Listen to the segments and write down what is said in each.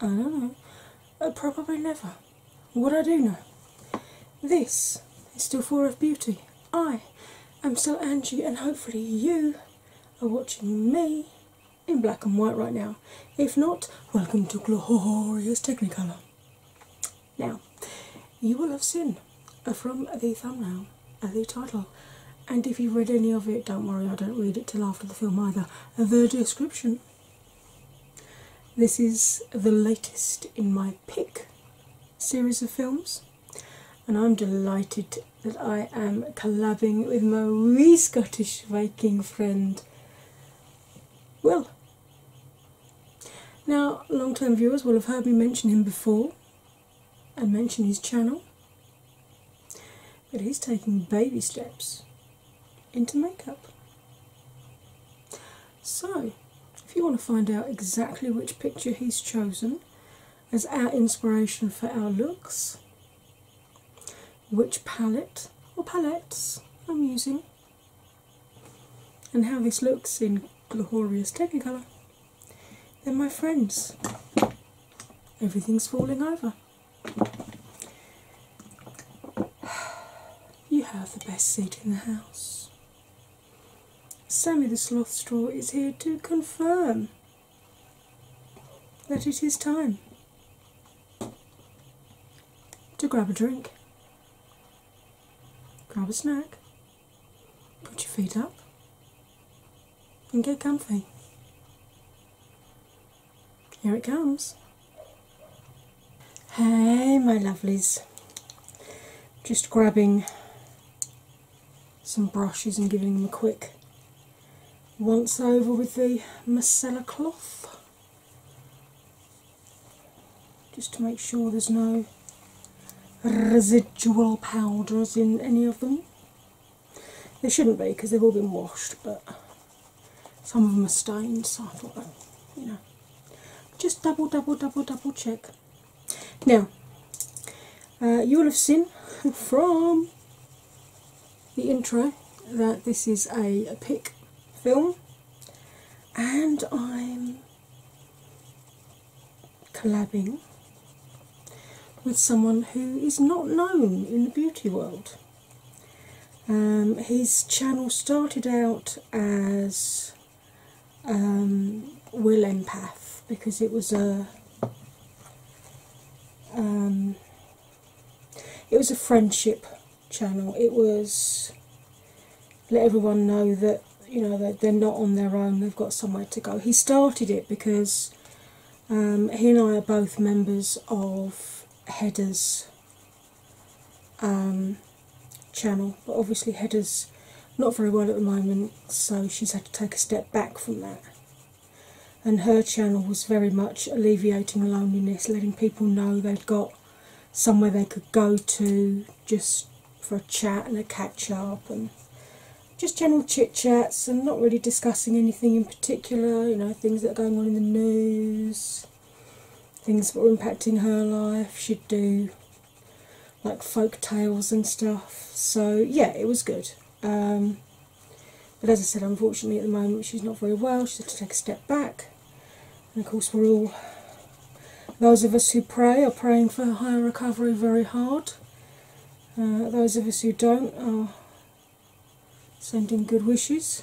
I don't know. Uh, probably never. What I do know. This is still full of Beauty. I am still Angie, and hopefully, you are watching me in black and white right now. If not, welcome to Glorious Technicolor. Now, you will have seen from the thumbnail uh, the title and if you've read any of it, don't worry, I don't read it till after the film either. The description. This is the latest in my pick series of films, and I'm delighted that I am collabing with my wee Scottish Viking friend Well, Now, long term viewers will have heard me mention him before and mention his channel. But he's taking baby steps into makeup. So, if you want to find out exactly which picture he's chosen as our inspiration for our looks, which palette or palettes I'm using, and how this looks in glorious Technicolor, then, my friends, everything's falling over. You have the best seat in the house. Sammy the Sloth Straw is here to confirm that it is time to grab a drink, grab a snack, put your feet up, and get comfy. Here it comes. Hey, my lovelies. Just grabbing some brushes and giving them a quick once over with the macella cloth just to make sure there's no residual powders in any of them. They shouldn't be because they've all been washed, but some of them are stained, so I thought, oh, you know, just double, double, double, double check. Now, uh, you will have seen from the intro that this is a, a pick film, and I'm collabing with someone who is not known in the beauty world. Um, his channel started out as um, Will Empath because it was a um, it was a friendship channel. It was let everyone know that you know they're not on their own. They've got somewhere to go. He started it because um, he and I are both members of Headers um, channel, but obviously Headers not very well at the moment, so she's had to take a step back from that. And her channel was very much alleviating loneliness, letting people know they've got somewhere they could go to just for a chat and a catch up and just general chit chats and not really discussing anything in particular, you know, things that are going on in the news, things that were impacting her life. She'd do like folk tales and stuff. So, yeah, it was good. Um, but as I said, unfortunately, at the moment, she's not very well. She had to take a step back. And of course, we're all, those of us who pray, are praying for her recovery very hard. Uh, those of us who don't are sending good wishes.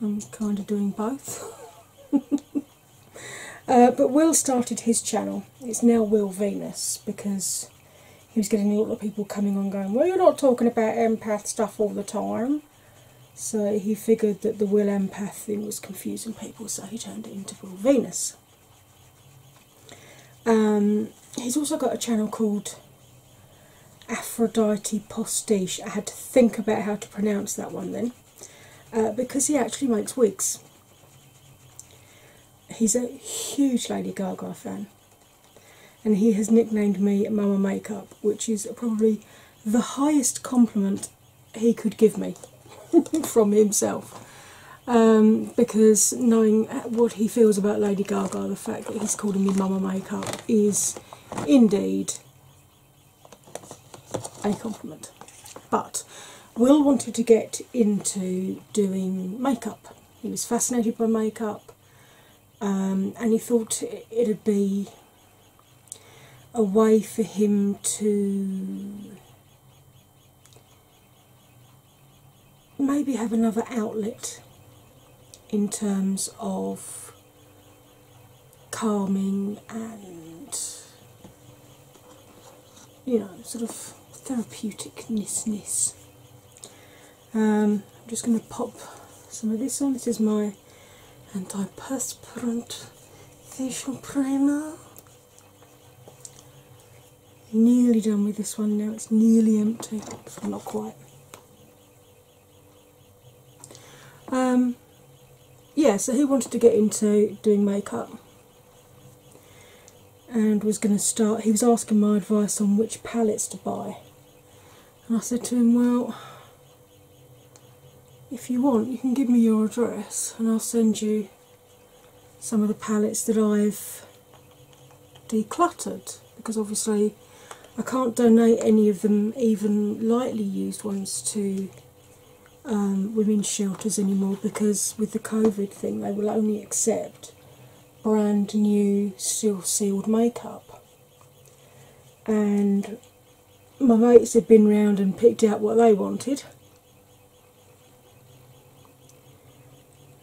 I'm kind of doing both. Uh, but Will started his channel. It's now Will Venus because he was getting a lot of people coming on going, Well, you're not talking about empath stuff all the time. So he figured that the Will Empath thing was confusing people, so he turned it into Will Venus. Um, he's also got a channel called Aphrodite Postiche. I had to think about how to pronounce that one then, uh, because he actually makes wigs. He's a huge Lady Gaga fan, and he has nicknamed me Mama Makeup, which is probably the highest compliment he could give me from himself. Um, because knowing what he feels about Lady Gaga, the fact that he's calling me Mama Makeup is indeed a compliment. But Will wanted to get into doing makeup. He was fascinated by makeup um, and he thought it'd be a way for him to maybe have another outlet in terms of calming and you know sort of therapeuticnessness. Um, I'm just going to pop some of this on. This is my anti perspirant facial primer. Nearly done with this one now, it's nearly empty, not quite. Um, yeah, so he wanted to get into doing makeup and was going to start. He was asking my advice on which palettes to buy, and I said to him, Well, if you want, you can give me your address and I'll send you some of the palettes that I've decluttered because obviously I can't donate any of them, even lightly used ones, to um, women's shelters anymore because with the COVID thing they will only accept brand new seal sealed makeup. And my mates have been round and picked out what they wanted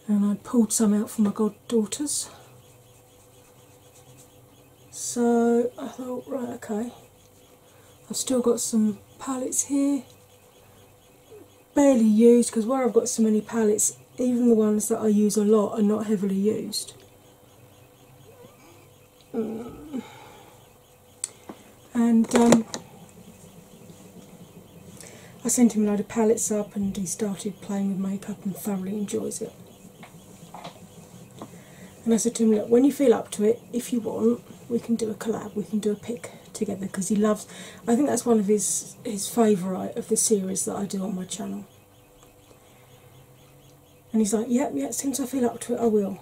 and I pulled some out for my goddaughters. So I thought, right, okay, I've still got some palettes here, barely used because where I've got so many palettes, even the ones that I use a lot are not heavily used. Mm. And um, I sent him a load of palettes up and he started playing with makeup and thoroughly enjoys it. And I said to him, Look, when you feel up to it, if you want, we can do a collab, we can do a pic together because he loves I think that's one of his his favourite of the series that I do on my channel. And he's like, Yep, yeah, yeah, since I feel up to it I will.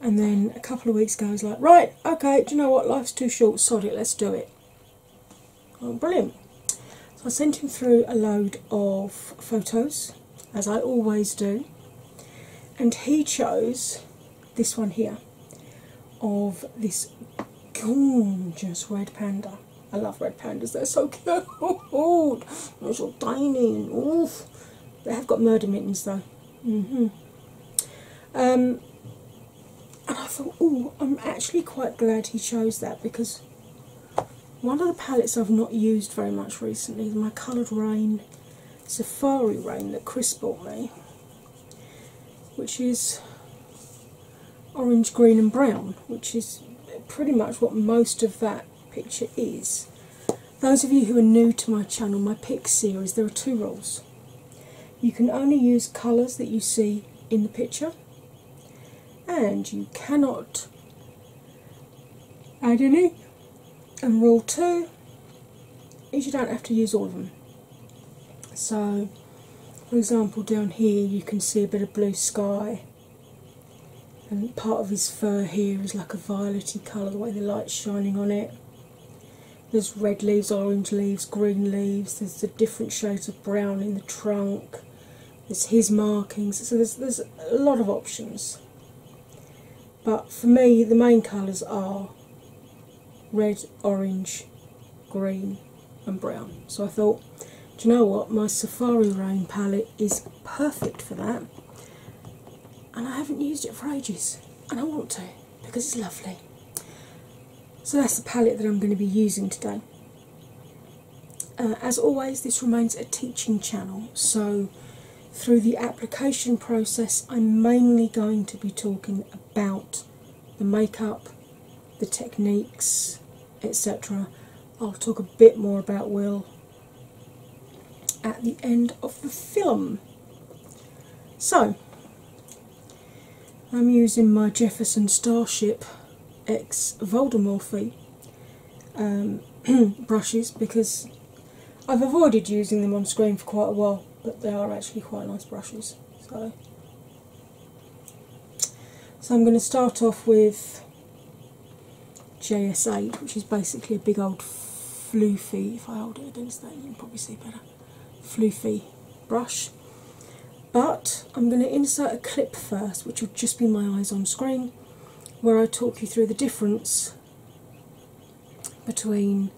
And then a couple of weeks ago, he's was like, Right, okay, do you know what? Life's too short, sod it, let's do it. Oh, brilliant. So I sent him through a load of photos, as I always do, and he chose this one here of this gorgeous red panda. I love red pandas, they're so cute. they're so tiny and oof. They have got murder mittens though. hmm Um, and I thought, oh, I'm actually quite glad he chose that because one of the palettes I've not used very much recently is my coloured rain Safari Rain that Chris bought me, which is orange, green, and brown, which is pretty much what most of that picture is. Those of you who are new to my channel, my pick series, there are two rules. You can only use colours that you see in the picture, and you cannot add any. And rule two is you don't have to use all of them. So, for example, down here you can see a bit of blue sky, and part of his fur here is like a violety colour, the way the light's shining on it. There's red leaves, orange leaves, green leaves, there's the different shades of brown in the trunk, it's his markings, so there's, there's a lot of options. But for me, the main colours are red, orange, green, and brown. So I thought, do you know what? My Safari Rain palette is perfect for that, and I haven't used it for ages, and I want to because it's lovely. So that's the palette that I'm going to be using today. Uh, as always, this remains a teaching channel, so through the application process, I'm mainly going to be talking about the makeup, the techniques, etc. I'll talk a bit more about Will at the end of the film. So, I'm using my Jefferson Starship ex Voldemorphy um, brushes because I've avoided using them on screen for quite a while, but they are actually quite nice brushes. So, so I'm going to start off with JS8, which is basically a big old floofy. If I hold it against that, you can probably see better. Floofy brush. But I'm going to insert a clip first, which will just be my eyes on screen, where I talk you through the difference between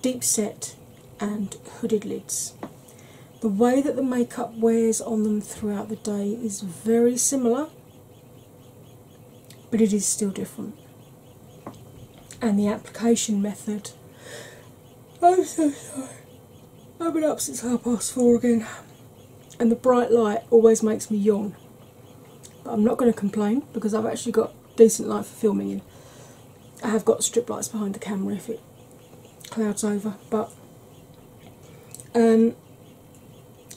deep set and hooded lids. The way that the makeup wears on them throughout the day is very similar, but it is still different. And the application method. I'm oh, so sorry. I've been up since half past four again, and the bright light always makes me yawn. But I'm not going to complain because I've actually got decent light for filming in. I have got strip lights behind the camera if it clouds over, but um,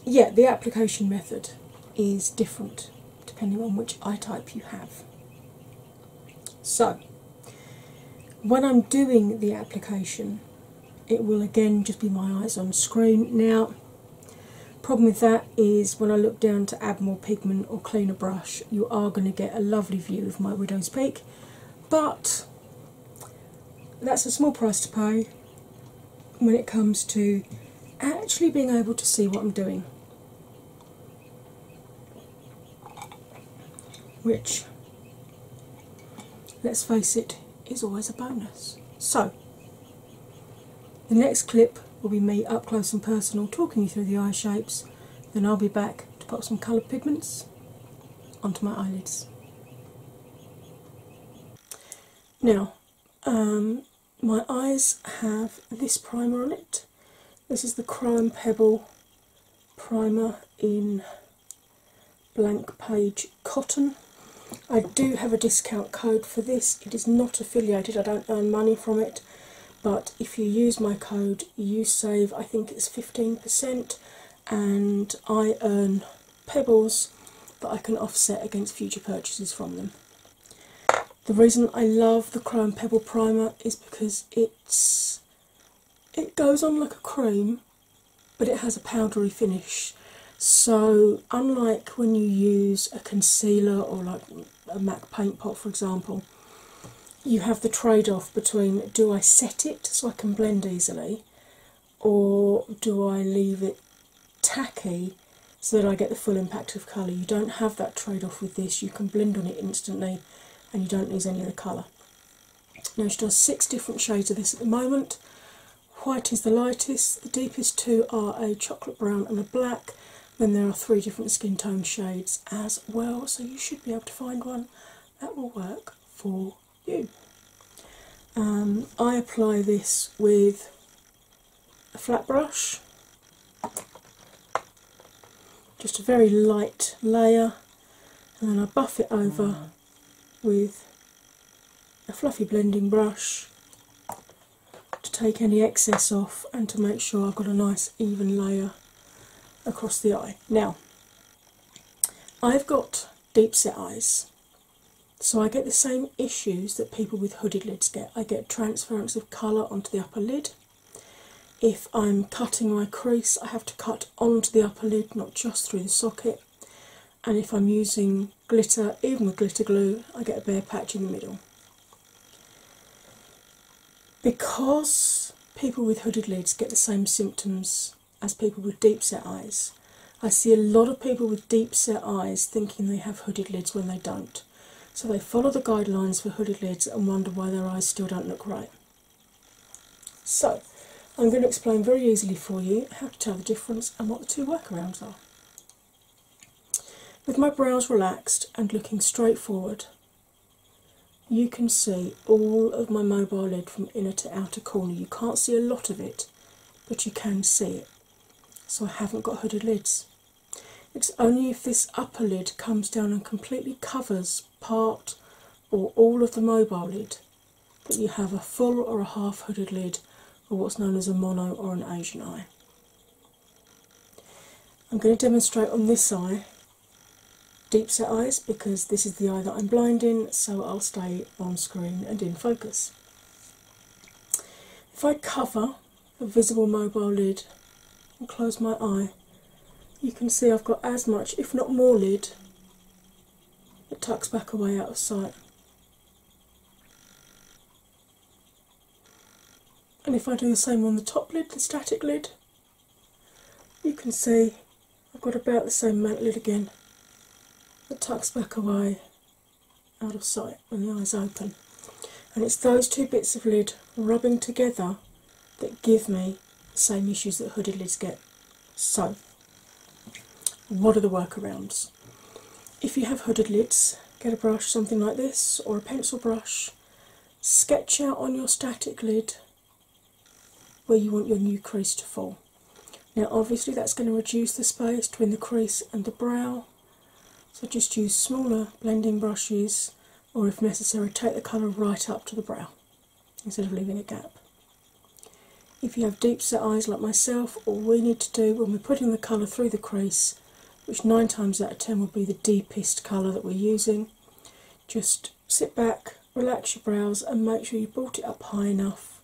yeah, the application method is different depending on which eye type you have. So, when I'm doing the application, it will again just be my eyes on screen. Now, problem with that is when I look down to add more pigment or cleaner brush, you are going to get a lovely view of my widow's peak, but that's a small price to pay when it comes to actually being able to see what I'm doing. Which let's face it, is always a bonus. So, the next clip will be me up close and personal talking you through the eye shapes, then I'll be back to pop some coloured pigments onto my eyelids. Now, um, my eyes have this primer on it. This is the Crime Pebble primer in Blank Page Cotton. I do have a discount code for this. It is not affiliated, I don't earn money from it, but if you use my code, you save, I think it's 15%, and I earn pebbles that I can offset against future purchases from them. The reason I love the Chrome Pebble Primer is because it's it goes on like a cream but it has a powdery finish. So, unlike when you use a concealer or like a MAC paint pot, for example, you have the trade off between do I set it so I can blend easily, or do I leave it tacky so that I get the full impact of colour? You don't have that trade off with this, you can blend on it instantly and you don't lose any of the colour. Now she does six different shades of this at the moment. White is the lightest, the deepest two are a chocolate brown and a black. Then there are three different skin tone shades as well, so you should be able to find one that will work for you. Um, I apply this with a flat brush, just a very light layer, and then I buff it over mm with a fluffy blending brush to take any excess off and to make sure I've got a nice even layer across the eye. Now, I've got deep set eyes, so I get the same issues that people with hooded lids get. I get transference of colour onto the upper lid. If I'm cutting my crease, I have to cut onto the upper lid, not just through the socket. And if I'm using glitter, even with glitter glue, I get a bare patch in the middle. Because people with hooded lids get the same symptoms as people with deep set eyes, I see a lot of people with deep set eyes thinking they have hooded lids when they don't. So they follow the guidelines for hooded lids and wonder why their eyes still don't look right. So, I'm going to explain very easily for you how to tell the difference and what the two workarounds are. With my brows relaxed and looking straight forward, you can see all of my mobile lid from inner to outer corner. You can't see a lot of it, but you can see it. So, I haven't got hooded lids. It's only if this upper lid comes down and completely covers part or all of the mobile lid that you have a full or a half hooded lid, or what's known as a mono or an Asian eye. I'm going to demonstrate on this eye deep set eyes because this is the eye that I'm blind in, so I'll stay on screen and in focus. If I cover the visible mobile lid and close my eye, you can see I've got as much, if not more, lid it tucks back away out of sight. And if I do the same on the top lid, the static lid, you can see I've got about the same mount lid again. It tucks back away out of sight when the eyes open. And it's those two bits of lid rubbing together that give me the same issues that hooded lids get. So what are the workarounds? If you have hooded lids, get a brush, something like this, or a pencil brush, sketch out on your static lid where you want your new crease to fall. Now, obviously, that's going to reduce the space between the crease and the brow, so just use smaller blending brushes, or if necessary, take the colour right up to the brow instead of leaving a gap. If you have deep set eyes like myself, all we need to do when we're putting the colour through the crease, which nine times out of ten will be the deepest colour that we're using, just sit back, relax your brows, and make sure you brought it up high enough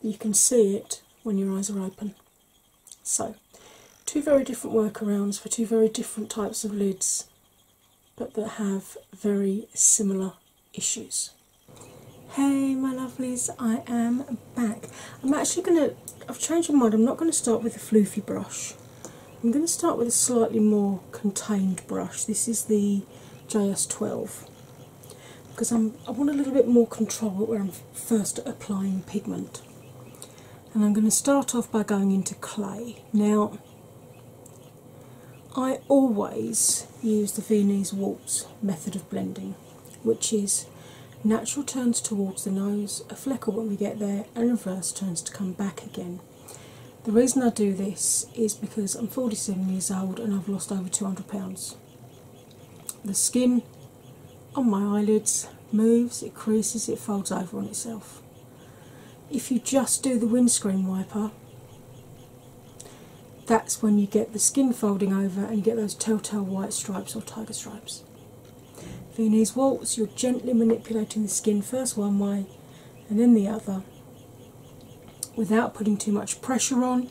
that you can see it when your eyes are open. So, two very different workarounds for two very different types of lids, but that have very similar issues. Hey, my lovelies, I am back. I'm actually going to, I've changed my mind, I'm not going to start with a floofy brush. I'm going to start with a slightly more contained brush. This is the JS12 because i I want a little bit more control where I'm first applying pigment. And I'm going to start off by going into clay. Now, I always use the Viennese waltz method of blending, which is natural turns towards the nose, a fleckle when we get there, and reverse turns to come back again. The reason I do this is because I'm 47 years old and I've lost over 200 pounds. The skin on my eyelids moves, it creases, it folds over on itself. If you just do the windscreen wiper, that's when you get the skin folding over and you get those telltale white stripes or tiger stripes. For these waltz, you're gently manipulating the skin first one way and then the other without putting too much pressure on.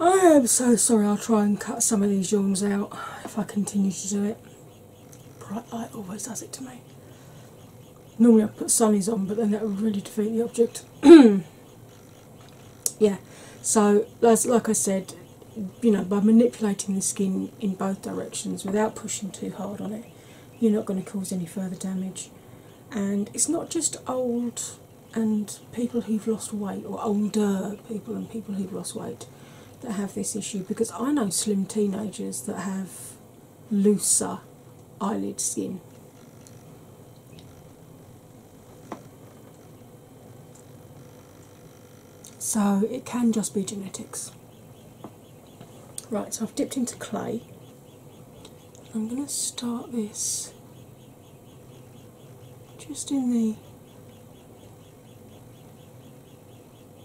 I am so sorry, I'll try and cut some of these yawns out if I continue to do it. Bright light always does it to me. Normally I put sunnies on, but then that would really defeat the object. yeah, so as, like I said, you know, by manipulating the skin in both directions without pushing too hard on it, you're not going to cause any further damage. And it's not just old and people who've lost weight, or older people and people who've lost weight that have this issue because I know slim teenagers that have looser eyelid skin. So it can just be genetics. Right, so I've dipped into clay. I'm going to start this just in the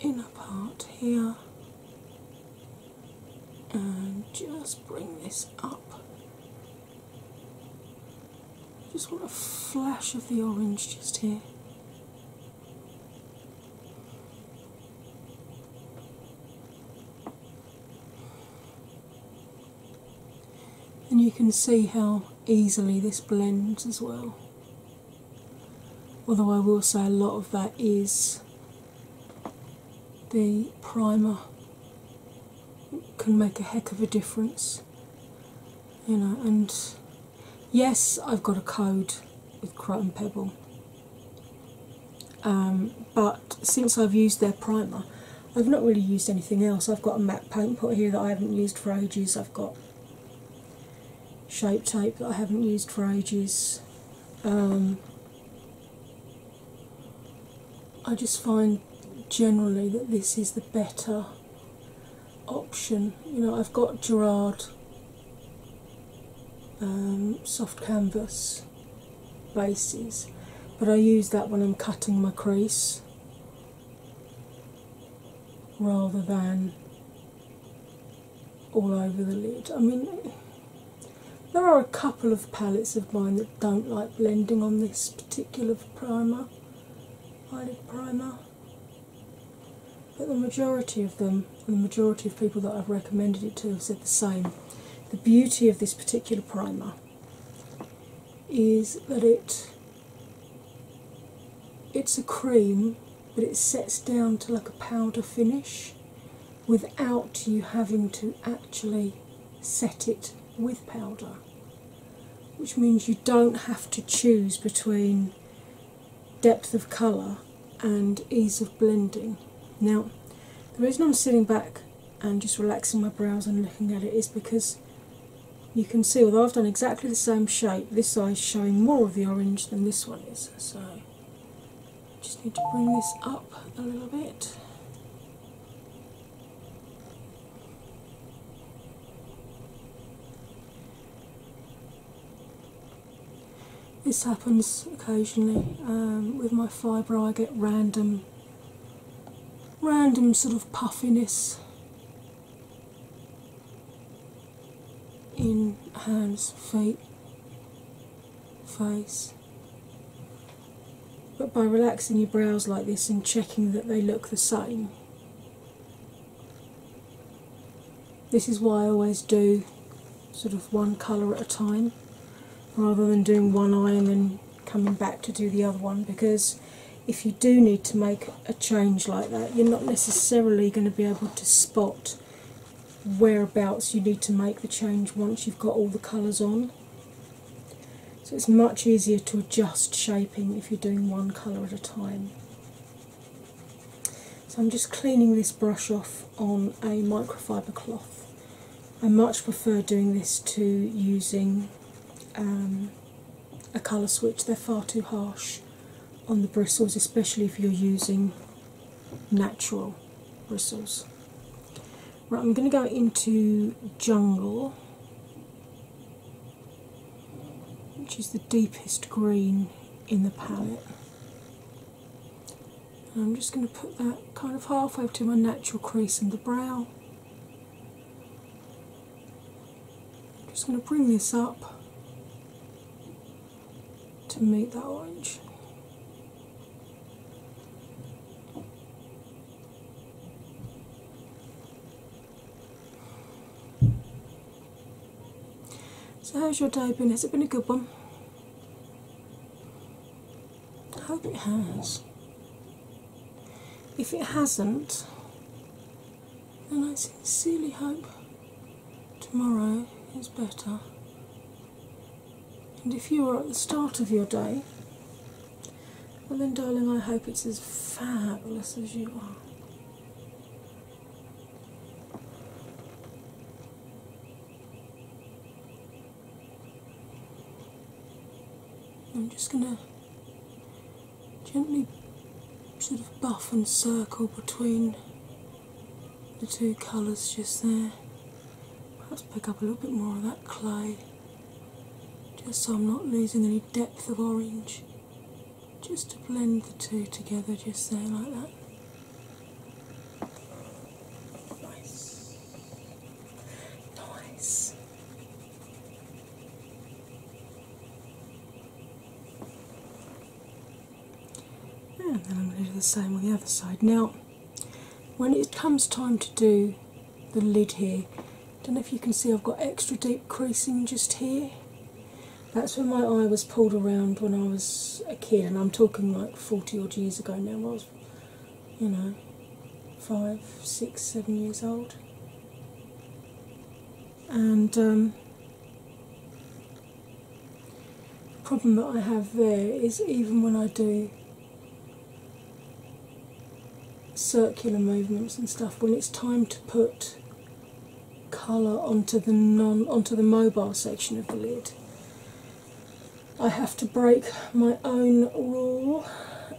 inner part here and just bring this up. Just want a flash of the orange just here. And you can see how easily this blends as well. Although I will say a lot of that is the primer can make a heck of a difference. You know, and yes, I've got a code with Chrome Pebble, um, but since I've used their primer, I've not really used anything else. I've got a matte paint put here that I haven't used for ages. I've got shape tape that I haven't used for ages. Um, I just find generally that this is the better option. You know, I've got Gerard um, soft canvas bases, but I use that when I'm cutting my crease rather than all over the lid. I mean, there are a couple of palettes of mine that don't like blending on this particular primer, eyelid primer, but the majority of them, the majority of people that I've recommended it to, have said the same. The beauty of this particular primer is that it it's a cream but it sets down to like a powder finish without you having to actually set it with powder, which means you don't have to choose between depth of colour and ease of blending. Now, the reason I'm sitting back and just relaxing my brows and looking at it is because you can see, although I've done exactly the same shape, this eye is showing more of the orange than this one is. So I just need to bring this up a little bit. This happens occasionally um, with my fibre. I get random, random sort of puffiness in hands, feet, face. But by relaxing your brows like this and checking that they look the same, this is why I always do sort of one colour at a time rather than doing one eye and then coming back to do the other one because if you do need to make a change like that, you're not necessarily going to be able to spot whereabouts you need to make the change once you've got all the colours on. So it's much easier to adjust shaping if you're doing one colour at a time. So I'm just cleaning this brush off on a microfiber cloth. I much prefer doing this to using um, a colour switch, they're far too harsh on the bristles, especially if you're using natural bristles. Right, I'm going to go into Jungle, which is the deepest green in the palette. I'm just going to put that kind of halfway to my natural crease and the brow. just going to bring this up to make that orange. So how's your day been? Has it been a good one? I hope it has. If it hasn't, then I sincerely hope tomorrow is better and if you are at the start of your day, well then, darling, I hope it's as fabulous as you are. I'm just going to gently sort of buff and circle between the two colours just there. Perhaps pick up a little bit more of that clay just so I'm not losing any depth of orange. Just to blend the two together just there like that. Nice. Nice. And then I'm going to do the same on the other side. Now when it comes time to do the lid here, I don't know if you can see I've got extra deep creasing just here. That's where my eye was pulled around when I was a kid, and I'm talking like 40 odd years ago now. I was, you know, five, six, seven years old. And um, the problem that I have there is even when I do circular movements and stuff, when it's time to put colour onto the non onto the mobile section of the lid, I have to break my own rule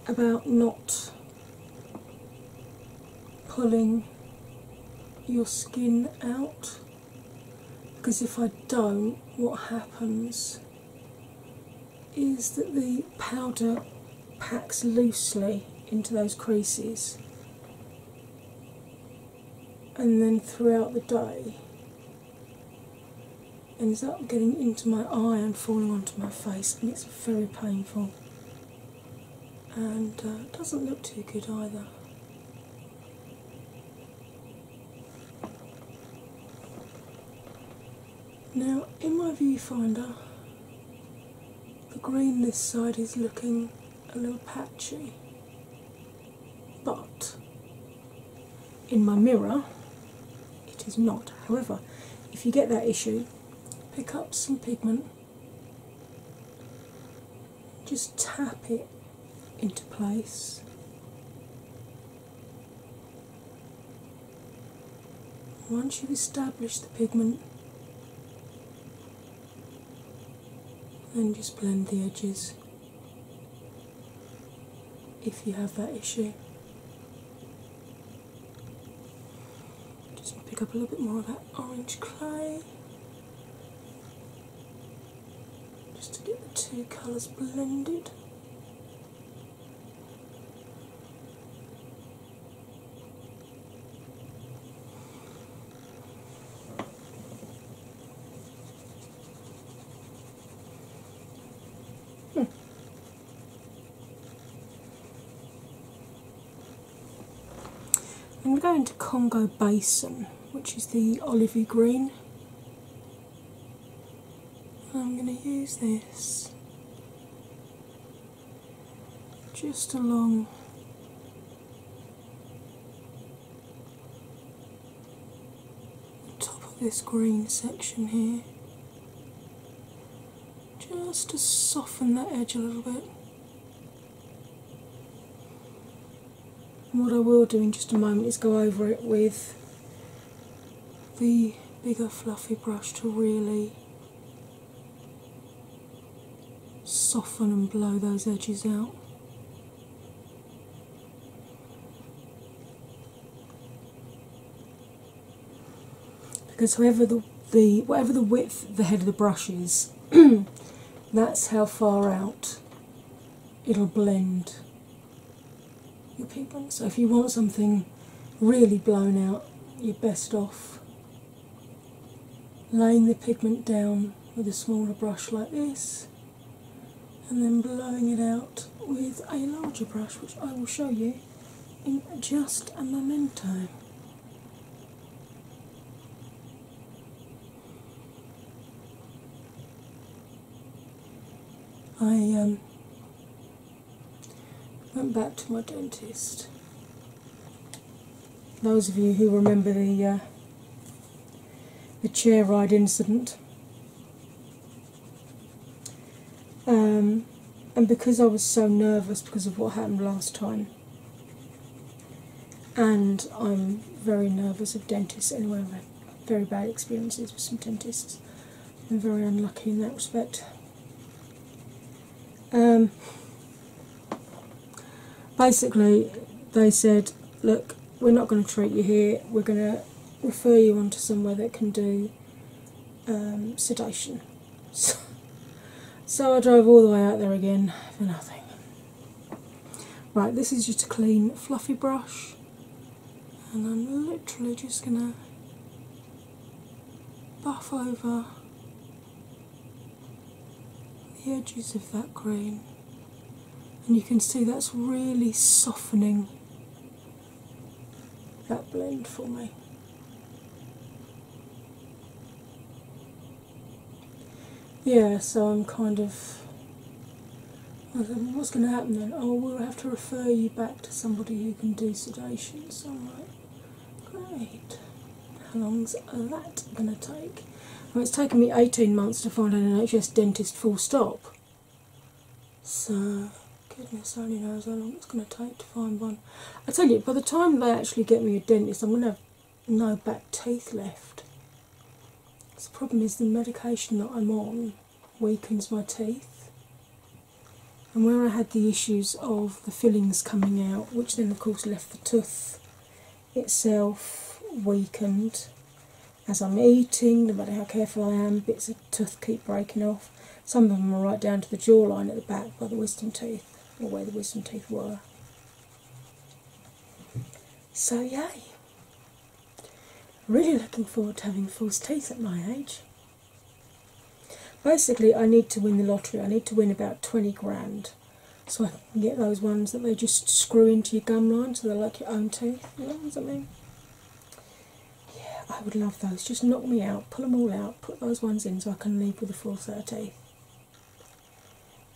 about not pulling your skin out because if I don't, what happens is that the powder packs loosely into those creases, and then throughout the day ends up getting into my eye and falling onto my face, and it's very painful and uh, doesn't look too good either. Now, in my viewfinder, the green this side is looking a little patchy, but in my mirror it is not. However, if you get that issue, pick up some pigment, just tap it into place. Once you've established the pigment, then just blend the edges if you have that issue. Just pick up a little bit more of that orange clay just to get the two colours blended. Hmm. I'm going to Congo Basin, which is the olivey green. I'm going to use this just along the top of this green section here, just to soften that edge a little bit what I will do in just a moment is go over it with the bigger fluffy brush to really soften and blow those edges out. Because whoever the, the whatever the width the head of the brush is, that's how far out it'll blend your pigment. So if you want something really blown out, you're best off laying the pigment down with a smaller brush like this and then blowing it out with a larger brush, which I will show you in just a memento. I um, went back to my dentist. Those of you who remember the uh, the chair ride incident, um, and because I was so nervous because of what happened last time, and I'm very nervous of dentists anyway very bad experiences with some dentists. I'm very unlucky in that respect. Um, basically, they said, Look, we're not going to treat you here, we're going to refer you on to somewhere that can do um, sedation. so I drove all the way out there again for nothing. Right, this is just a clean fluffy brush and I'm literally just going to buff over the edges of that green, and you can see that's really softening that blend for me. Yeah, so I'm kind of what's going to happen then? Oh, we'll have to refer you back to somebody who can do sedations. Alright, great. How long's that going to take? Well, it's taken me 18 months to find an NHS dentist full stop. So, goodness only knows how long it's going to take to find one. I tell you, by the time they actually get me a dentist, I'm going to have no back teeth left. The problem is the medication that I'm on weakens my teeth. And where I had the issues of the fillings coming out, which then of course left the tooth itself weakened as I'm eating, no matter how careful I am, bits of tooth keep breaking off. Some of them are right down to the jawline at the back by the wisdom teeth, or where the wisdom teeth were. So, yay! Really looking forward to having false teeth at my age. Basically, I need to win the lottery. I need to win about 20 grand so I can get those ones that they just screw into your gum line so they're like your own teeth. You know what I mean? Yeah, I would love those. Just knock me out, pull them all out, put those ones in so I can leave with a full set teeth.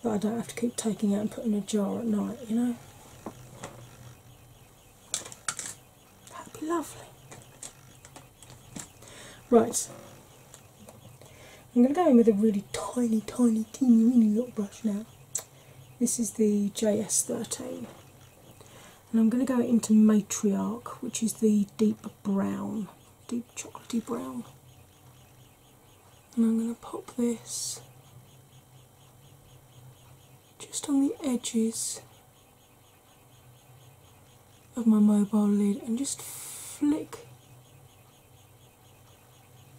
That I don't have to keep taking out and putting in a jar at night, you know? That'd be lovely. Right. I'm going to go in with a really tiny, tiny, teeny, weeny little brush now. This is the JS13. And I'm going to go into Matriarch, which is the deep brown, deep chocolatey brown. And I'm going to pop this just on the edges of my mobile lid and just flick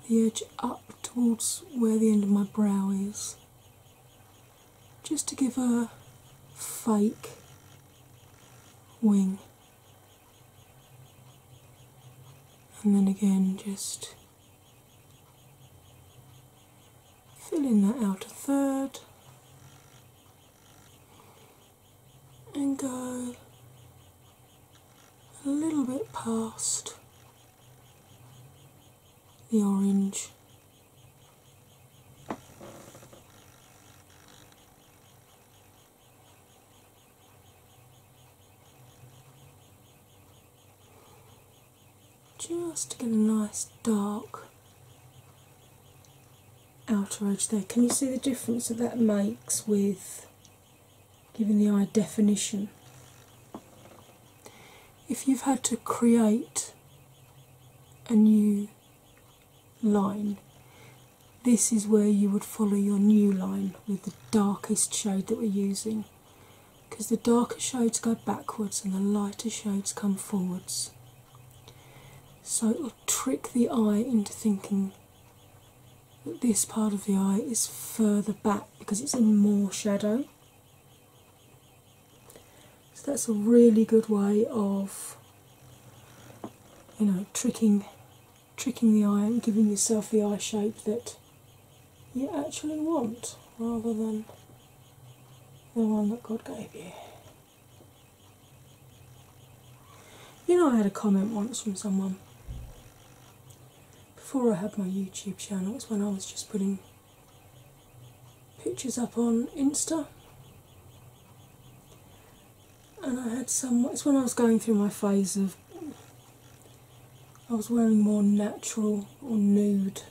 the edge up towards where the end of my brow is, just to give a fake wing. And then again, just fill in that outer third and go a little bit past the orange just to get a nice dark outer edge there. Can you see the difference that that makes with giving the eye definition? If you've had to create a new line, this is where you would follow your new line with the darkest shade that we're using because the darker shades go backwards and the lighter shades come forwards. So it will trick the eye into thinking that this part of the eye is further back because it's in more shadow. So that's a really good way of you know tricking tricking the eye and giving yourself the eye shape that you actually want rather than the one that God gave you. You know, I had a comment once from someone before I had my YouTube channel, it was when I was just putting pictures up on Insta. And I had some, it's when I was going through my phase of I was wearing more natural or nude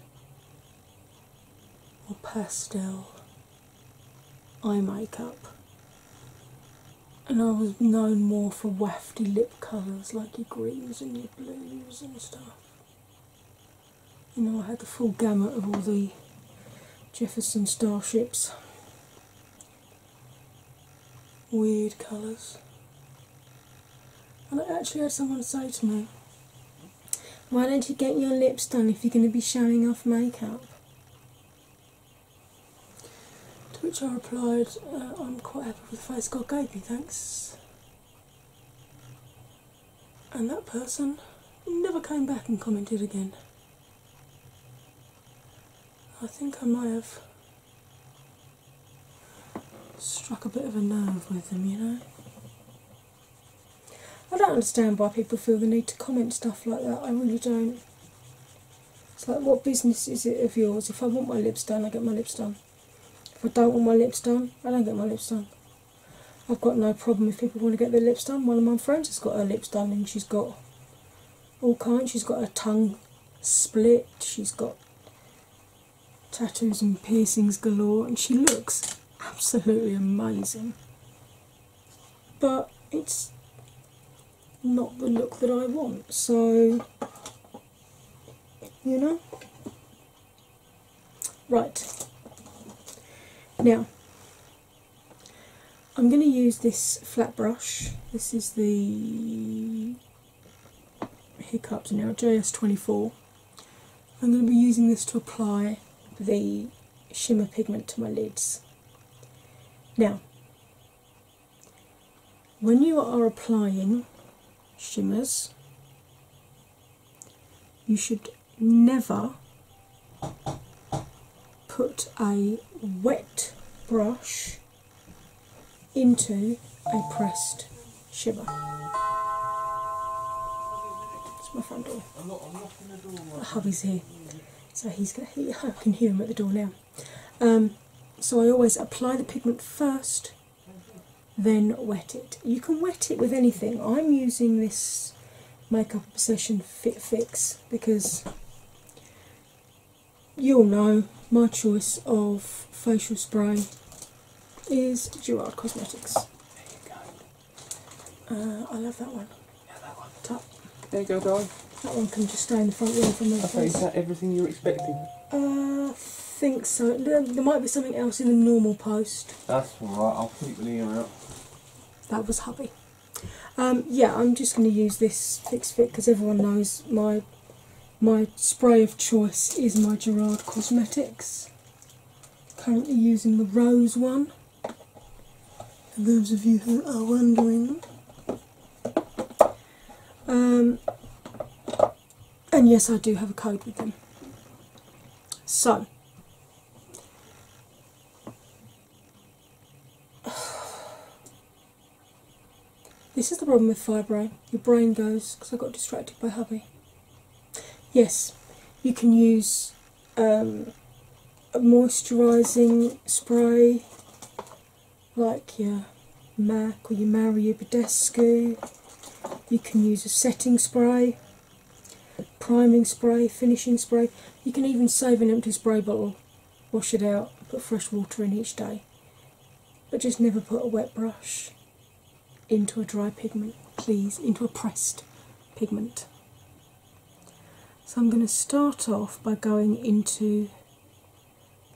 or pastel eye makeup, and I was known more for wafty lip colours like your greens and your blues and stuff. You know, I had the full gamut of all the Jefferson Starships. Weird colours. And I actually had someone say to me, Why don't you get your lips done if you're going to be showing off makeup? To which I replied, uh, I'm quite happy with the face God gave me, thanks. And that person never came back and commented again. I think I might have struck a bit of a nerve with them, you know. I don't understand why people feel the need to comment stuff like that. I really don't. It's like, what business is it of yours? If I want my lips done, I get my lips done. If I don't want my lips done, I don't get my lips done. I've got no problem if people want to get their lips done. One of my friends has got her lips done and she's got all kinds. She's got her tongue split, she's got tattoos and piercings galore, and she looks absolutely amazing. But it's not the look that I want, so you know. Right now, I'm going to use this flat brush. This is the hiccups now, JS24. I'm going to be using this to apply the shimmer pigment to my lids. Now, when you are applying shimmers, you should never put a wet brush into a pressed shiver. It's my front door. I'm not, I'm door my hubby's here, so he's gonna. hear him at the door now. Um, so I always apply the pigment first, then wet it. You can wet it with anything. I'm using this makeup obsession fit fix because you'll know my choice of facial spray is Gerard Cosmetics. There you go. Uh, I love that one. Yeah, that one. Top. There you go, darling. That one can just stay in the front room for me. Okay, place. is that everything you are expecting? Uh, I think so. There, might be something else in the normal post. That's right. I'll keep an ear out. That was hubby. Um, yeah, I'm just going to use this Fix Fit because everyone knows my my spray of choice is my Gerard Cosmetics. Currently using the rose one. For those of you who are wondering. Um, and yes, I do have a code with them. So. This is the problem with fibro. Your brain goes because I got distracted by hubby. Yes, you can use um, a moisturising spray like your MAC or your Mario Badescu. You can use a setting spray, priming spray, finishing spray. You can even save an empty spray bottle, wash it out, put fresh water in each day. But just never put a wet brush into a dry pigment, please, into a pressed pigment. So I'm going to start off by going into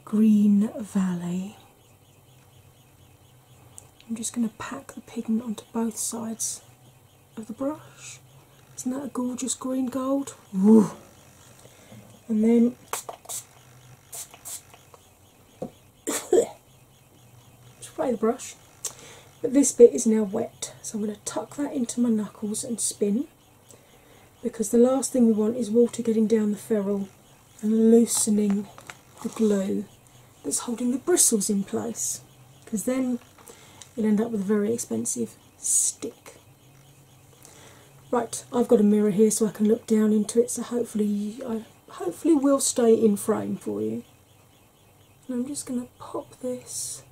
Green Valley. I'm just going to pack the pigment onto both sides of the brush. Isn't that a gorgeous green gold? And then spray the brush. But this bit is now wet, so I'm going to tuck that into my knuckles and spin because the last thing we want is water getting down the ferrule and loosening the glue that's holding the bristles in place because then you'll end up with a very expensive stick. Right, I've got a mirror here so I can look down into it, so hopefully I hopefully will stay in frame for you. And I'm just going to pop this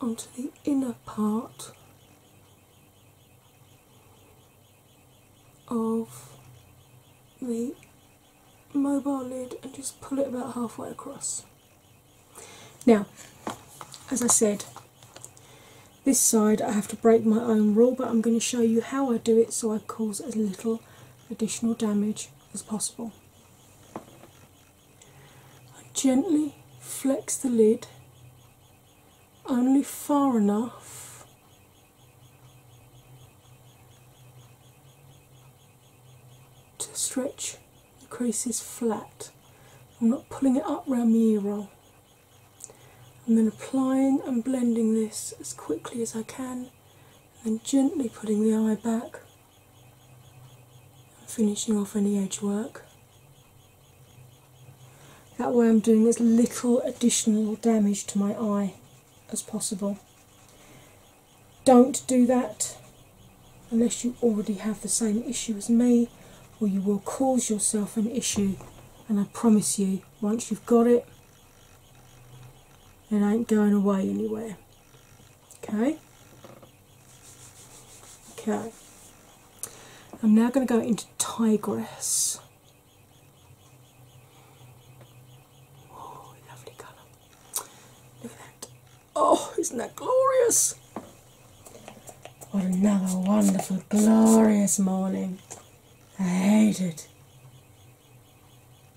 onto the inner part of the mobile lid and just pull it about halfway across. Now, as I said, this side I have to break my own rule, but I'm going to show you how I do it so I cause as little additional damage as possible. I gently flex the lid only far enough to stretch the creases flat. I'm not pulling it up round the ear roll. I'm then applying and blending this as quickly as I can, and then gently putting the eye back and finishing off any edge work. That way, I'm doing as little additional damage to my eye as possible. Don't do that unless you already have the same issue as me, or you will cause yourself an issue. And I promise you, once you've got it, it ain't going away anywhere. Okay? Okay. I'm now going to go into Tigress. Oh, lovely colour. Look at that. Oh, isn't that glorious? What another wonderful, glorious morning. I hate it.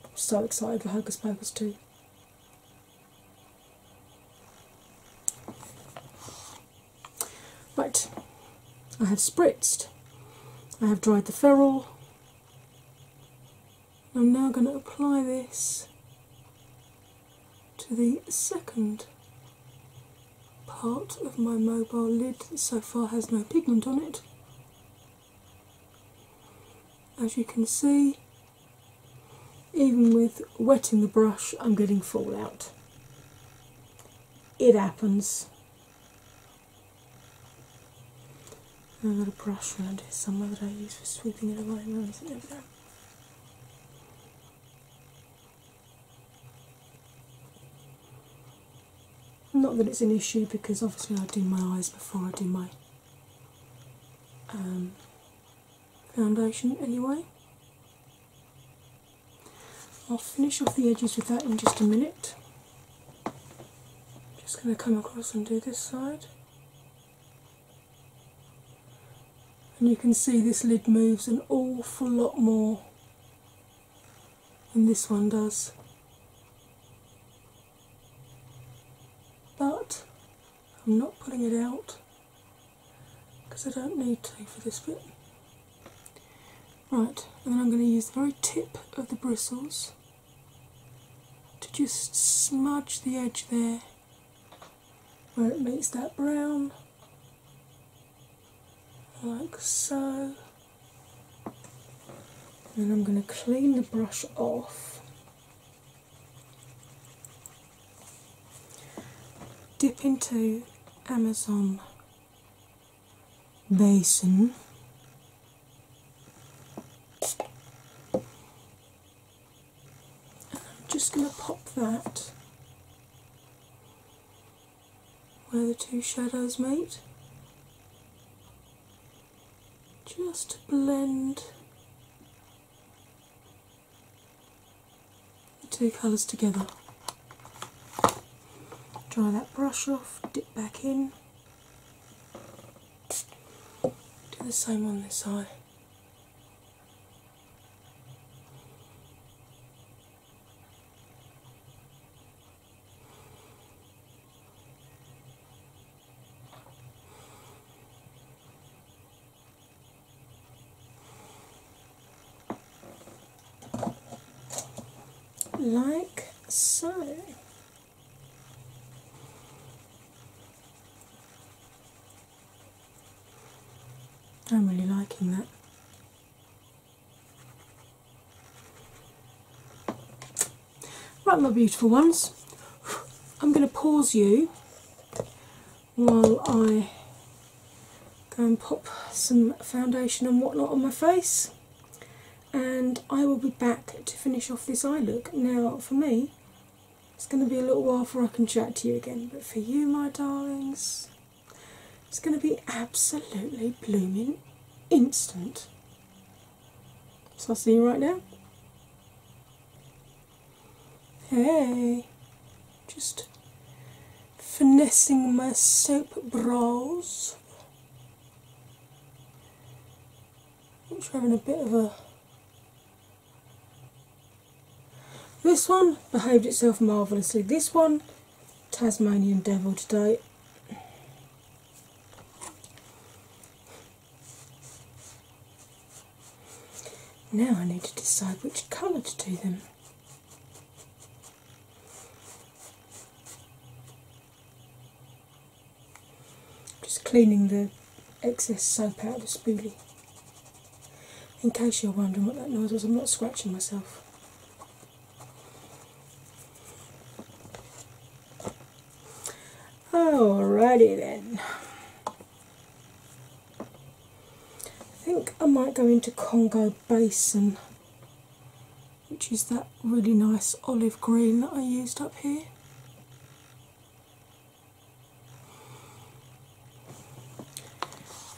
I'm so excited for Hocus Pocus too. Right, I have spritzed, I have dried the ferrule. I'm now going to apply this to the second part of my mobile lid so far has no pigment on it. As you can see, even with wetting the brush, I'm getting fallout. It happens. I've got a brush around here somewhere that I use for sweeping it away. Where is it? There not that it's an issue because obviously I do my eyes before I do my um, foundation anyway. I'll finish off the edges with that in just a minute. Just going to come across and do this side. And you can see this lid moves an awful lot more and this one does. But I'm not pulling it out because I don't need to for this bit. Right, and then I'm going to use the very tip of the bristles to just smudge the edge there where it meets that brown like so. And I'm going to clean the brush off. Dip into Amazon Basin. And I'm just going to pop that where the two shadows meet, just blend the two colours together. Dry that brush off, dip back in, do the same on this eye like so. I'm really liking that. Right, my beautiful ones, I'm going to pause you while I go and pop some foundation and whatnot on my face, and I will be back to finish off this eye look. Now, for me, it's going to be a little while before I can chat to you again, but for you, my darlings, it's going to be absolutely blooming instant. So I'll see you right now. Hey, just finessing my soap brows. I'm having a bit of a. This one behaved itself marvellously. This one Tasmanian Devil today. Now I need to decide which colour to do them. Just cleaning the excess soap out of the spoolie. In case you're wondering what that noise was, I'm not scratching myself. Alrighty then. I think I might go into Congo Basin, which is that really nice olive green that I used up here.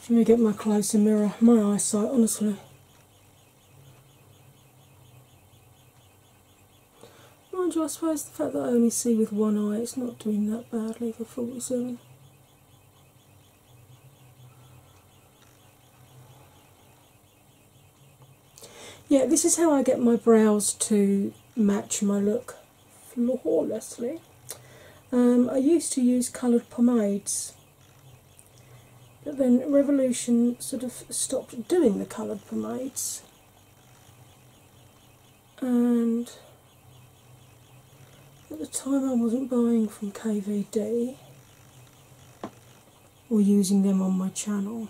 Let me get my closer mirror, my eyesight, honestly. Mind you, I suppose the fact that I only see with one eye, it's not doing that badly for so. Yeah, this is how I get my brows to match my look flawlessly. Um, I used to use coloured pomades but then Revolution sort of stopped doing the coloured pomades, and at the time I wasn't buying from KVD or using them on my channel,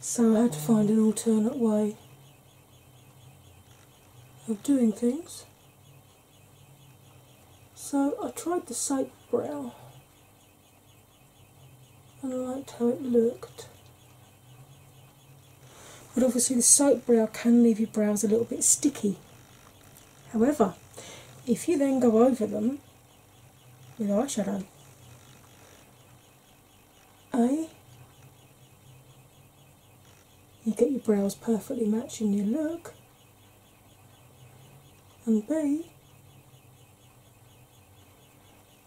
so I had to find an alternate way of doing things. So I tried the soap brow and I liked how it looked. But obviously, the soap brow can leave your brows a little bit sticky. However, if you then go over them with eyeshadow, A, you get your brows perfectly matching your look, and B,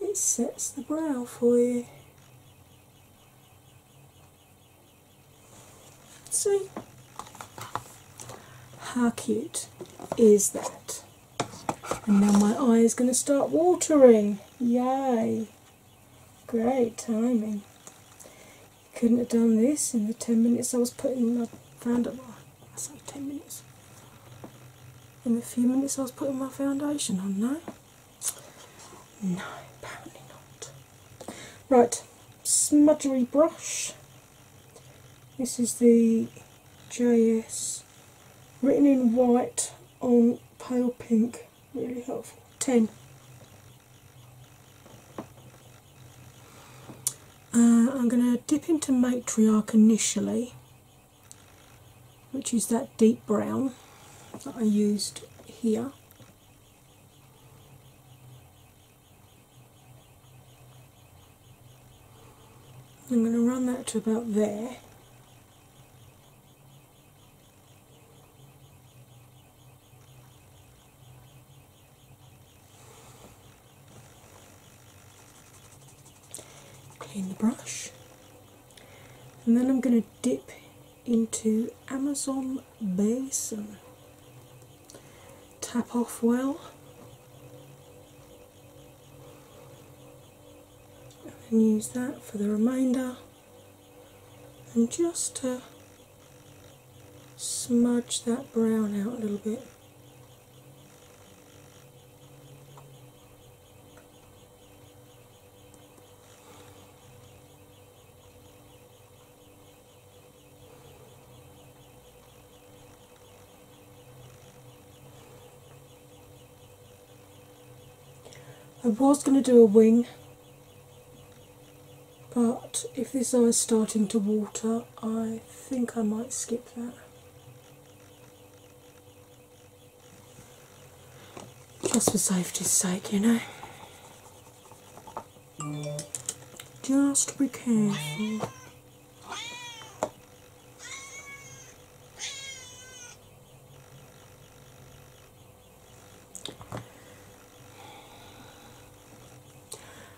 it sets the brow for you. See how cute is that? And now my eye is going to start watering. Yay! Great timing couldn't have done this in the 10 minutes I was putting my foundation. I 10 minutes. In the few minutes I was putting my foundation on, no? apparently not. Right, smudgery brush. This is the JS written in white on pale pink. Really helpful. 10. Uh, I'm going to dip into Matriarch initially, which is that deep brown that I used here. I'm going to run that to about there. Clean the brush, and then I'm going to dip into Amazon Basin. Tap off well, and use that for the remainder, and just to smudge that brown out a little bit. I was going to do a wing but if this eye's starting to water, I think I might skip that. Just for safety's sake, you know. Just be careful.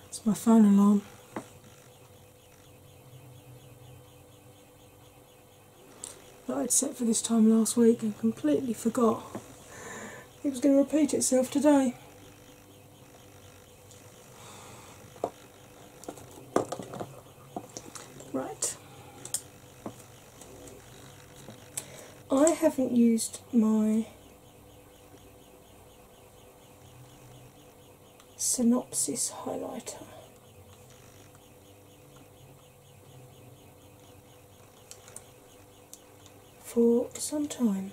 It's my phone alarm. That I'd set for this time last week and completely forgot it was going to repeat itself today. Right. I haven't used my Synopsis highlighter. For some time.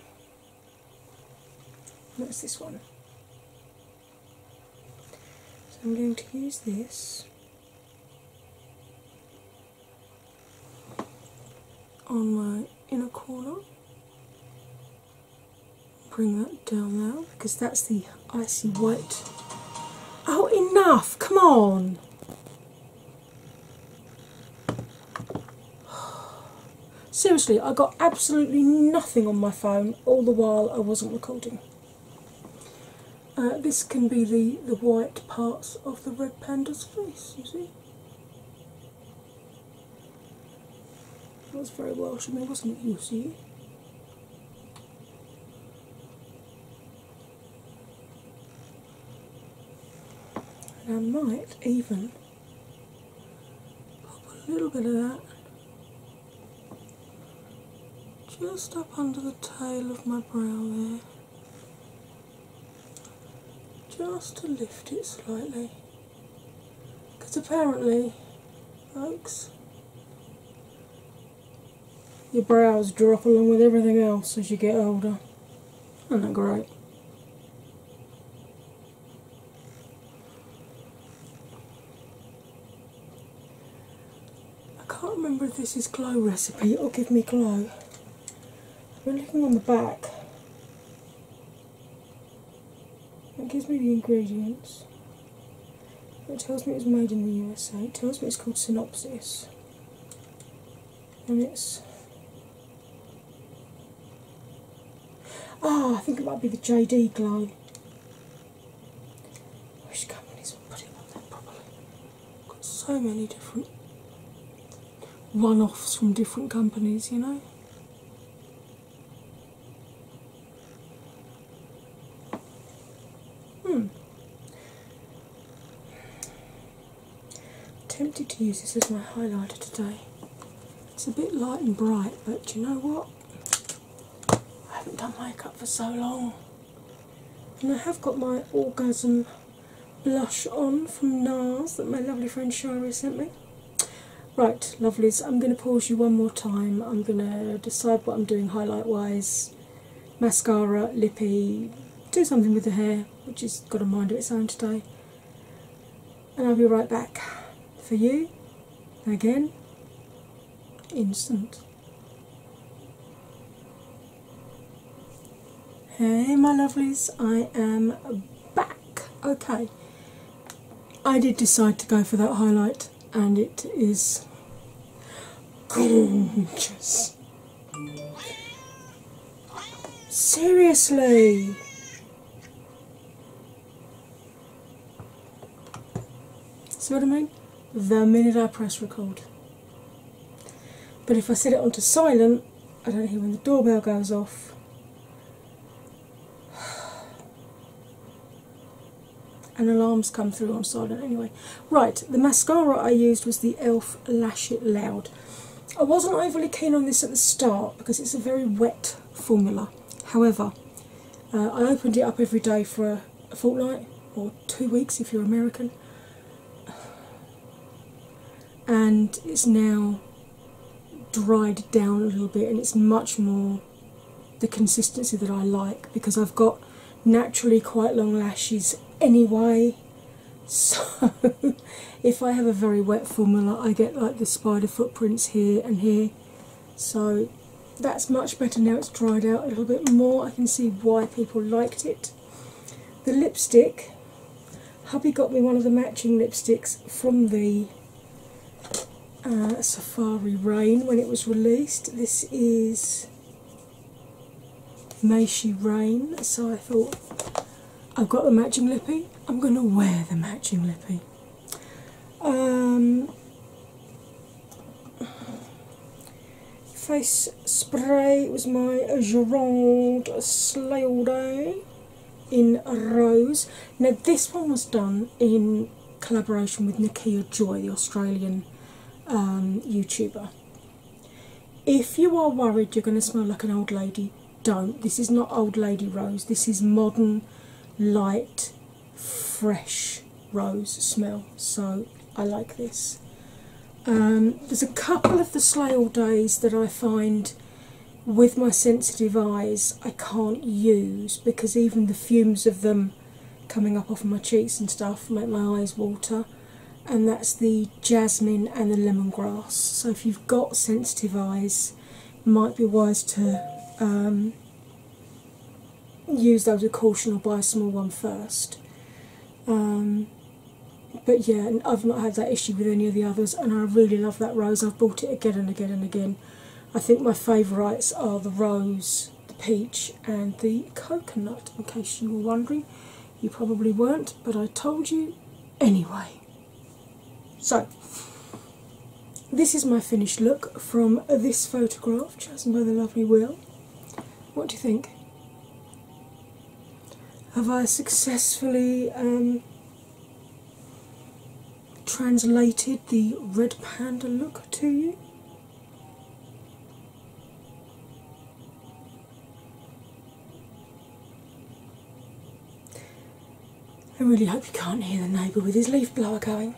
And this one. So I'm going to use this on my in a corner. Bring that down now because that's the icy white. Oh, enough! Come on! Seriously, I got absolutely nothing on my phone all the while I wasn't recording. Uh, this can be the, the white parts of the red panda's face, you see? It was very Welsh of me, wasn't it? You see? I might even pop a little bit of that just up under the tail of my brow there, just to lift it slightly. Because apparently, folks, your brows drop along with everything else as you get older. Isn't that great? I can't remember if this is glow recipe or give me glow. We're looking on the back it gives me the ingredients. It tells me it's made in the USA. It tells me it's called Synopsis. And it's. Ah, I think it might be the JD Glow. I wish companies would put it on there properly. Got so many different run offs from different companies, you know? Hmm. Tempted to use this as my highlighter today. It's a bit light and bright, but you know what? I haven't done makeup for so long. And I have got my orgasm blush on from NARS that my lovely friend Shari sent me. Right, lovelies, I'm going to pause you one more time. I'm going to decide what I'm doing highlight wise, mascara, lippy, do something with the hair, which has got a mind of its own today. And I'll be right back for you again. Instant. Hey, my lovelies, I am back. Okay, I did decide to go for that highlight, and it is gorgeous. Seriously. See what I mean? The minute I press record. But if I set it onto silent, I don't hear when the doorbell goes off, and alarms come through on silent anyway. Right, the mascara I used was the e.l.f. Lash It Loud. I wasn't overly keen on this at the start because it's a very wet formula. However, uh, I opened it up every day for a fortnight or two weeks if you're American and it's now dried down a little bit and it's much more the consistency that I like because I've got naturally quite long lashes anyway. So if I have a very wet formula, I get like the spider footprints here and here. So that's much better now it's dried out a little bit more. I can see why people liked it. The lipstick Hubby got me one of the matching lipsticks from the uh, Safari Rain when it was released. This is May She Rain, so I thought I've got the matching lippy, I'm going to wear the matching lippy. Um, face spray was my Gironde Slay All Day in Rose. Now, this one was done in collaboration with Nikia Joy, the Australian um, YouTuber. If you are worried you're going to smell like an old lady, don't. This is not old lady rose, this is modern, light, fresh rose smell. So, I like this. Um, there's a couple of the Slay All Days that I find with my sensitive eyes, I can't use because even the fumes of them coming up off my cheeks and stuff make my eyes water. And that's the jasmine and the lemongrass. So, if you've got sensitive eyes, it might be wise to um, use those with caution or buy a small one first. Um, but yeah, I've not had that issue with any of the others, and I really love that rose. I've bought it again and again and again. I think my favourites are the rose, the peach, and the coconut. In case you were wondering, you probably weren't, but I told you anyway. So, this is my finished look from this photograph chosen by the lovely Will. What do you think? Have I successfully um, translated the red panda look to you. I really hope you can't hear the neighbour with his leaf blower going.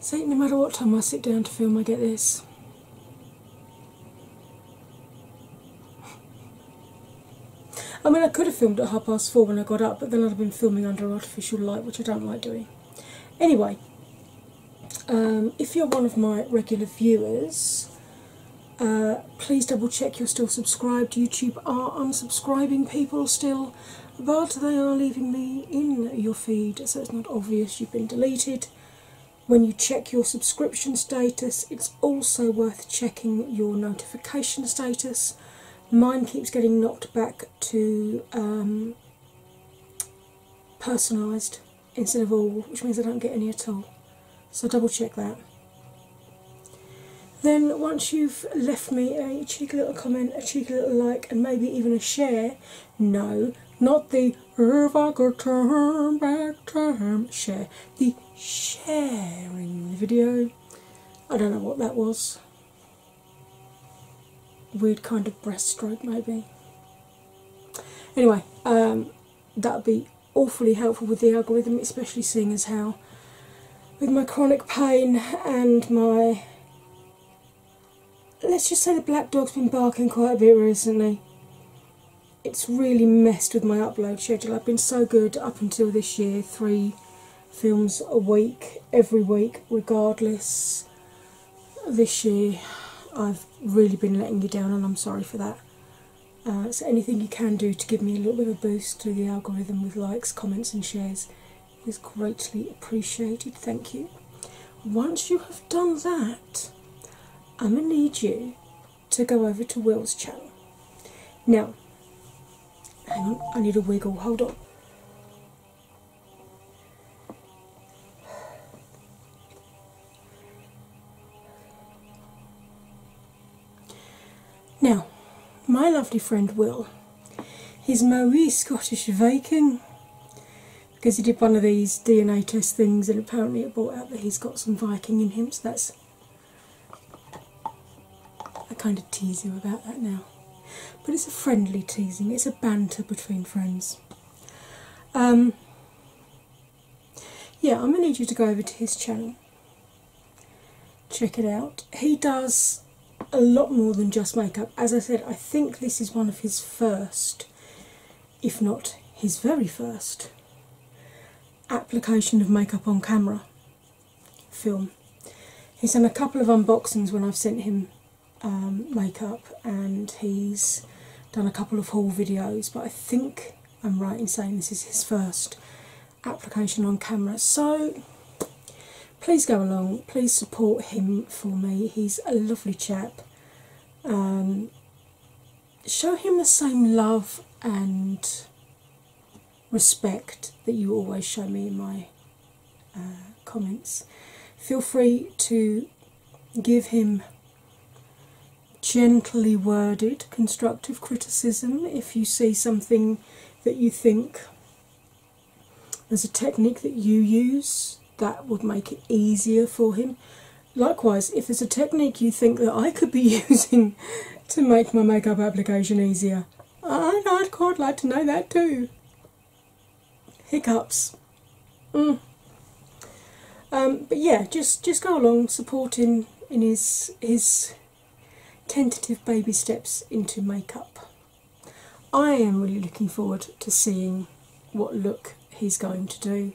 See, no matter what time I sit down to film, I get this. I mean, I could have filmed at half past four when I got up, but then I'd have been filming under artificial light, which I don't like doing. Anyway, um, if you're one of my regular viewers, uh, please double check you're still subscribed. YouTube are unsubscribing people still, but they are leaving me in your feed, so it's not obvious you've been deleted. When you check your subscription status, it's also worth checking your notification status. Mine keeps getting knocked back to um, personalised instead of all, which means I don't get any at all. So double check that. Then, once you've left me a cheeky little comment, a cheeky little like, and maybe even a share, no, not the Try term share the sharing video. I don't know what that was. Weird kind of breaststroke, maybe. Anyway, um, that'd be awfully helpful with the algorithm, especially seeing as how, with my chronic pain and my let's just say the black dog's been barking quite a bit recently it's really messed with my upload schedule. I've been so good up until this year, three films a week, every week, regardless. This year, I've really been letting you down, and I'm sorry for that. Uh, so, anything you can do to give me a little bit of a boost to the algorithm with likes, comments, and shares is greatly appreciated. Thank you. Once you have done that, I'm going to need you to go over to Will's channel. Now, hang on, I need a wiggle, hold on. Now, my lovely friend Will, he's Moe Scottish Viking, because he did one of these DNA test things and apparently it brought out that he's got some Viking in him, so that's I kind of tease you about that now, but it's a friendly teasing, it's a banter between friends. Um, yeah, I'm going to need you to go over to his channel. Check it out. He does a lot more than just makeup. As I said, I think this is one of his first, if not his very first, application of makeup on camera film. He's done a couple of unboxings when I've sent him um, makeup, and he's done a couple of haul videos, but I think I'm right in saying this is his first application on camera. So please go along, please support him for me. He's a lovely chap. Um, show him the same love and respect that you always show me in my uh, comments. Feel free to give him gently worded constructive criticism if you see something that you think there's a technique that you use that would make it easier for him. Likewise, if there's a technique you think that I could be using to make my makeup application easier. I'd, quite like to know that too. Hiccups. Mm. Um, but yeah, just just go along, supporting in his his tentative baby steps into makeup. I am really looking forward to seeing what look he's going to do.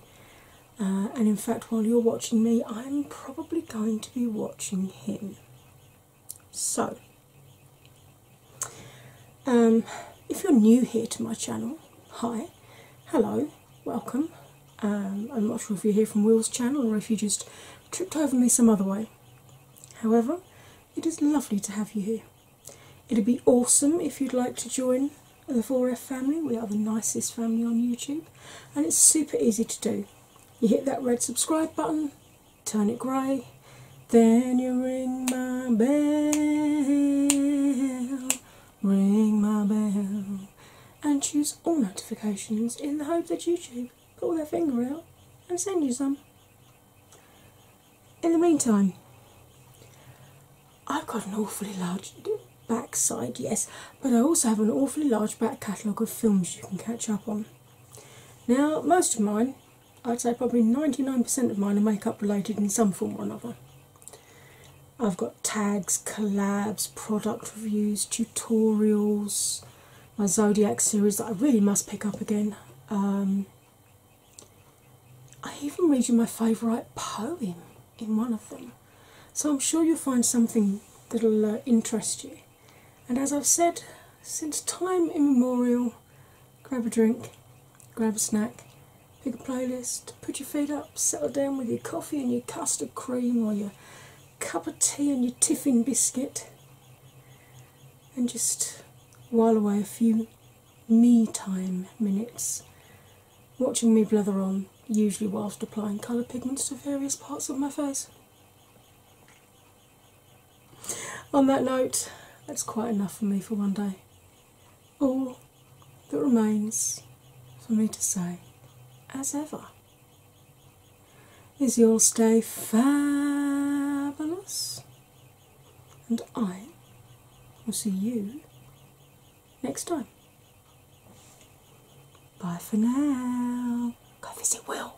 Uh, and in fact, while you're watching me, I'm probably going to be watching on So, um, if you're new here to my channel, hi, hello, welcome. Um, I'm not sure if you're here from Will's channel or if you just tripped over me some other way. However, it is lovely to have you here. It'd be awesome if you'd like to join the 4F family. We are the nicest family on YouTube, and it's super easy to do. You hit that red subscribe button, turn it grey, then you ring my bell, ring my bell, and choose all notifications in the hope that YouTube pull their finger out and send you some. In the meantime, I've got an awfully large backside, yes, but I also have an awfully large back catalogue of films you can catch up on. Now, most of mine, I'd say probably 99% of mine, are makeup related in some form or another. I've got tags, collabs, product reviews, tutorials, my Zodiac series that I really must pick up again. Um, I even read you my favourite poem in one of them. So I'm sure you'll find something that'll uh, interest you. And as I've said since time immemorial, grab a drink, grab a snack, pick a playlist, put your feet up, settle down with your coffee and your custard cream or your cup of tea and your tiffin biscuit, and just while away a few me time minutes watching me blather on, usually whilst applying colour pigments to various parts of my face. On that note, that's quite enough for me for one day. All that remains for me to say, as ever, is you'll stay fabulous, and I will see you next time. Bye for now. Go visit Will.